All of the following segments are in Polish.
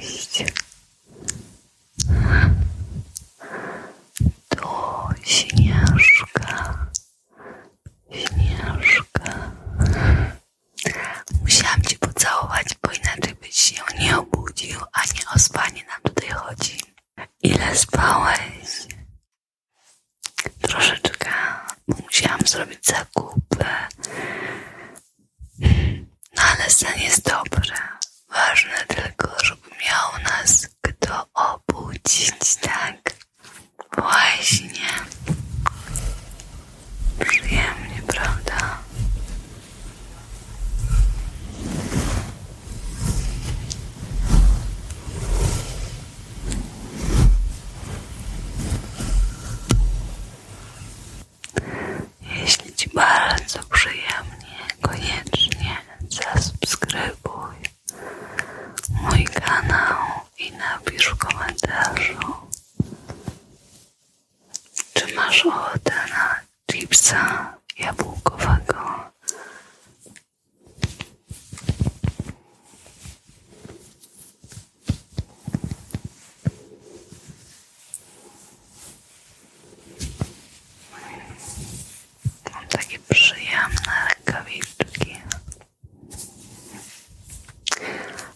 Cześć. To Śnieżka. Śnieżka. Musiałam ci pocałować, bo inaczej byś się nie obudził, a nie o spanie nam tutaj chodzi. Ile spałeś? Troszeczkę, bo musiałam zrobić zakupy. No ale sen jest dobry. Ważne tylko, żeby miał nas kto obudzić, tak? Właśnie. Przyjemnie, prawda? Jeśli Ci bardzo przyjemnie, koniecznie zasubskrybuj mój kanał i napisz w komentarzu, czy masz ochotę na chipsa jabłkowego. Mam takie przyjemne rękawiczki.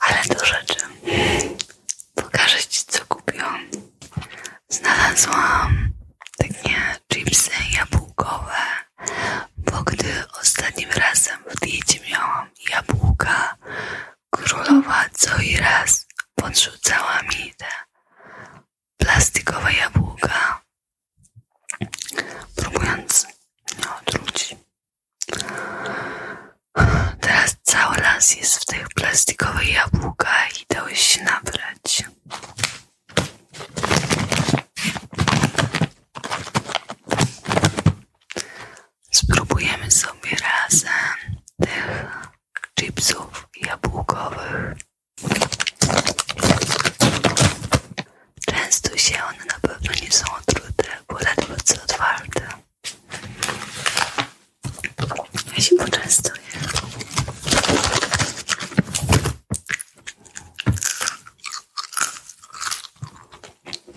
Ale do rzeczy. Pokażę Ci, co kupiłam. Znalazłam takie chipsy jabłkowe, bo gdy ostatnim razem w diecie miałam jabłka, Królowa co i raz podrzucała mi te plastikowe jabłka, próbując mnie otruć. Teraz cały las jest w tych plastikowych jabłkach i dałeś się nabrać. Spróbujemy sobie razem tych chipsów jabłkowych. Często się one na pewno nie są otrute, bo ledwo bardzo otwarte. Ja się poczęstuję.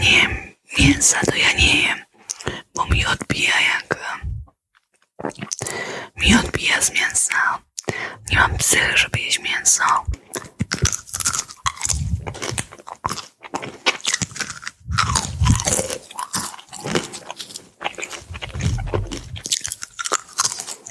Nie, mięsa to ja nie jem, bo mi odbija jak... Mi odbija z mięsa. Nie mam psychy, żeby jeść mięso.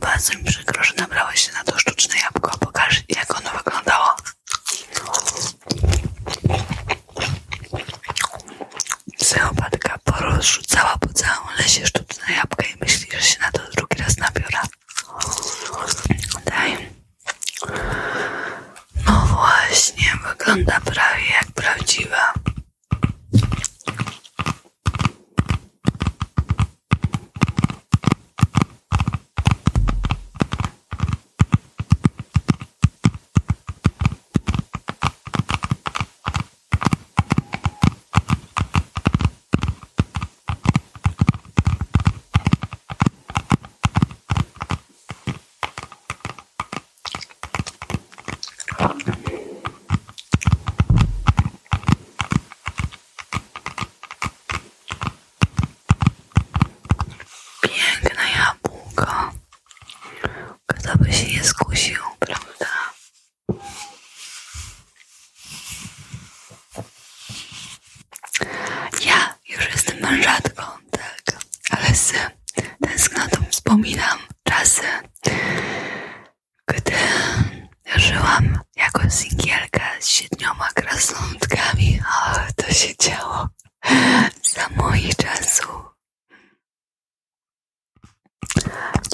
Bardzo mi przykro, że nabrałeś się na to sztuczne jabłko. Pokaż, jak ono wyglądało. Psychopatka porozrzucała po całym lesie sztuczne jabłka i myśli, że się na to drugi raz nabiora. Daj. No właśnie, wygląda prawie jak prawdziwa. Piękne jabłko. Kto by się nie skusił, prawda? Ja już jestem mężatką tak. Ale z tęsknotą wspominam czasy, gdy żyłam jako singielka z siedmioma krasnątkami. to się działo za moich czasów.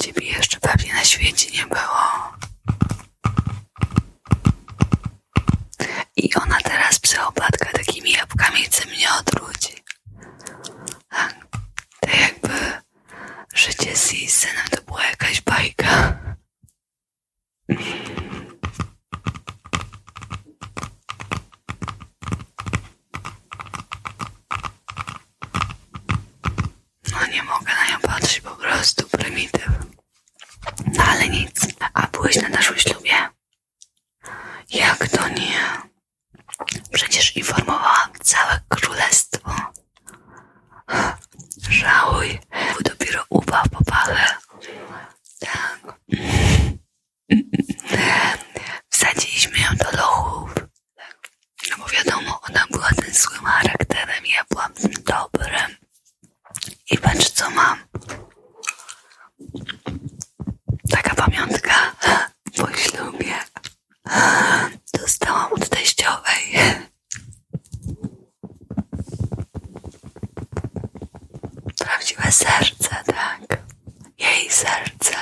Ciebie jeszcze pewnie na świecie nie było. I ona teraz psychopatka takimi jabłkami chce mnie odwrócić. To jakby życie z jej to była jakaś bajka. No nie mogę na nią patrzeć, po prostu prymityw. No ale nic. A byłeś na naszym ślubie? Jak to nie? Przecież informowałam całe królestwo. Żałuj, bo dopiero ubaw popachę. Tak. Wsadziliśmy ją do lochów. No bo wiadomo, ona była tym złym charakterem, ja byłam tym dobrym. I patrz co mam taka pamiątka po ślubie dostałam od teściowej. Prawdziwe serce, tak. Jej serce.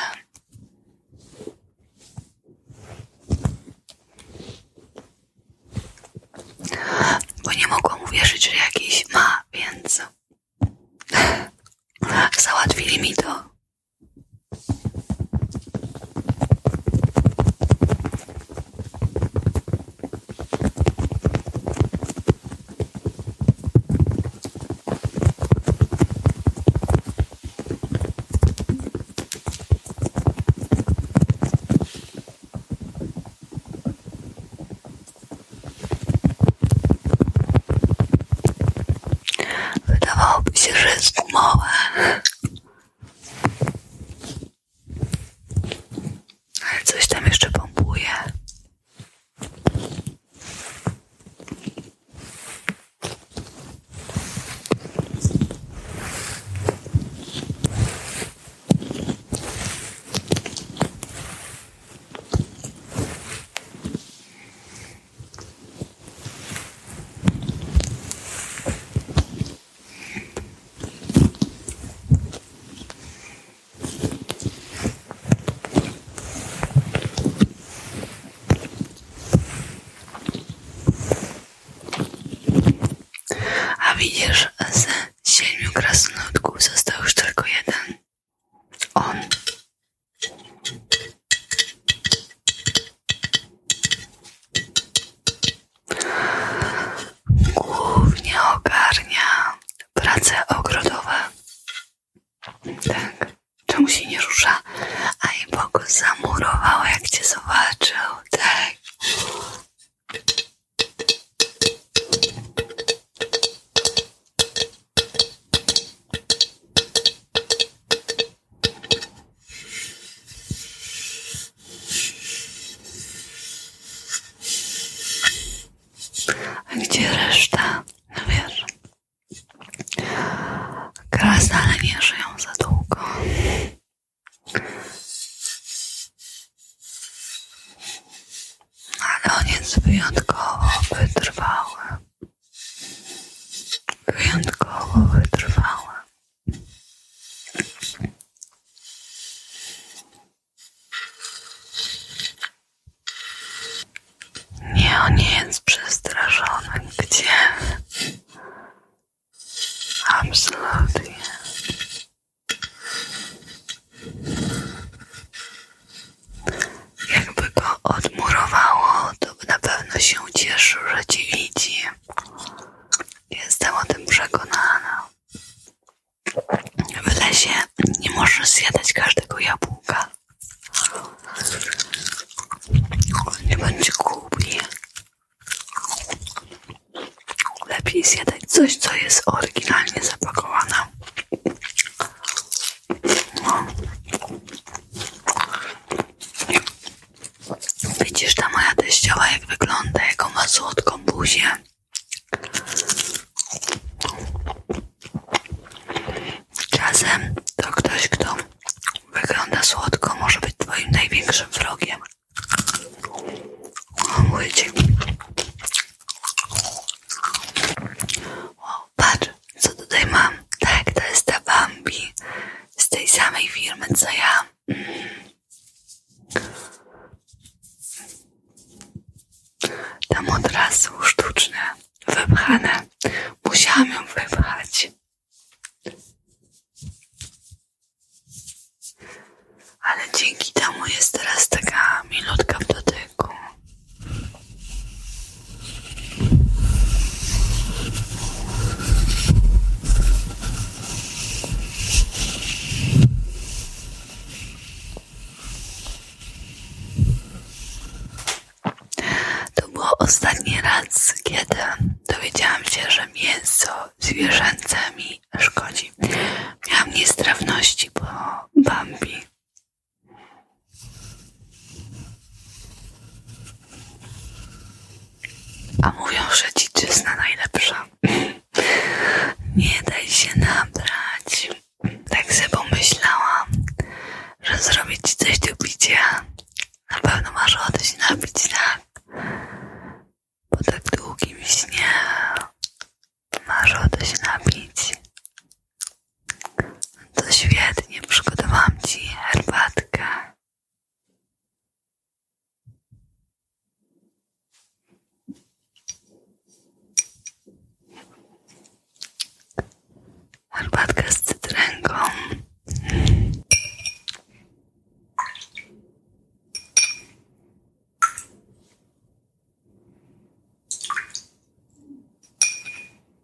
Bo nie mogłam uwierzyć, że jakiś ma, więc Załatwili mi to. Wydawałoby się, że jest małe. Ale coś tam jeszcze pompuje. A widzisz, z siedmiu krasnoludków został już tylko jeden. On. Głównie ogarnia prace ogrodowe. Tak. Czemu się nie rusza? A i Bogu zamurowało, jak cię zobaczył. Tak. A gdzie reszta? No wiesz, krasnale nie żyją za długo. Ale on jest wyjątkowo wytrwały. Wyjątkowo wytrwała. Nie, on nie jest przestraszony. Gdzie? Absolutnie. Jakby go odmurowało, to by na pewno się cieszył, że ci widzi. Jestem o tym przekonana. W lesie nie można zjadać każdego jabłka. Nie będzie gubi. Lepiej zjadać coś, co jest oryginalnie zapakowane. Widzisz ta moja teściowa jak wygląda, jaką ma słodką buzię. Czasem to ktoś, kto wygląda słodko, może być twoim największym wrogiem. O, mówię ci. Wow, patrz, co tutaj mam. Tak, to jest ta Bambi z tej samej firmy, co ja. Mm. Tam od razu sztuczne, wypchane. Musiałam ją wypchać. Ale dzięki temu jest teraz taka milutka w dotyku. To było ostatni raz, kiedy dowiedziałam się, że mięso zwierzęce mi szkodzi. Miałam niestrawności po Bambi. A mówią, że dziczyzna najlepsza. Nie daj się nabrać. Tak sobie pomyślałam, że zrobię ci coś do picia. Na pewno masz ochotę się napić, tak? Po tak długim śnie masz ochotę się napić. To świetnie, przygotowałam Ci herbatkę. Herbatkę z cytrynką.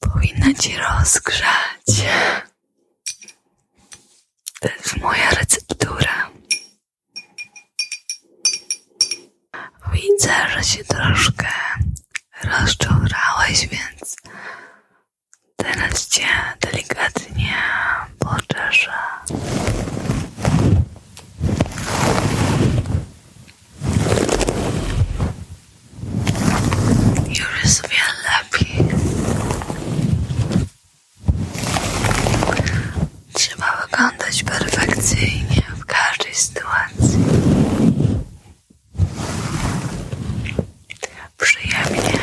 Powinna ci rozgrzać. To jest moja receptura. Widzę, że się troszkę rozczurałeś, więc teraz cię delikatnie poczeszę. Już lepiej. Trzeba wyglądać perfekcyjnie w każdej sytuacji. Przyjemnie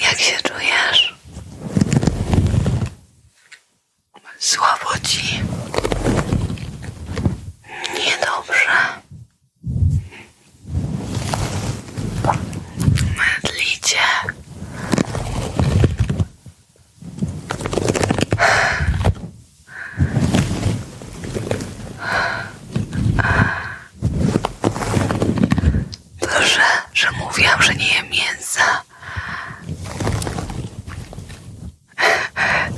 jak się czujesz? Słabo ci. Niedobrze. Mydlicie. To, że, że mówiłam, że nie jem mięsa.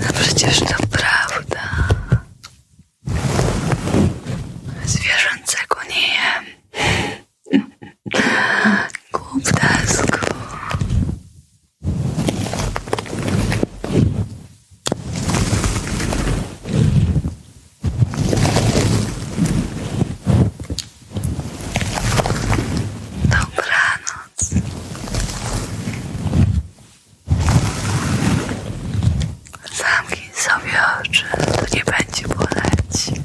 No przecież to prawda. Zwierzęcego nie jem. Głuptasku. Dobranoc. Zamknij sobie oczy, to nie będzie boleć.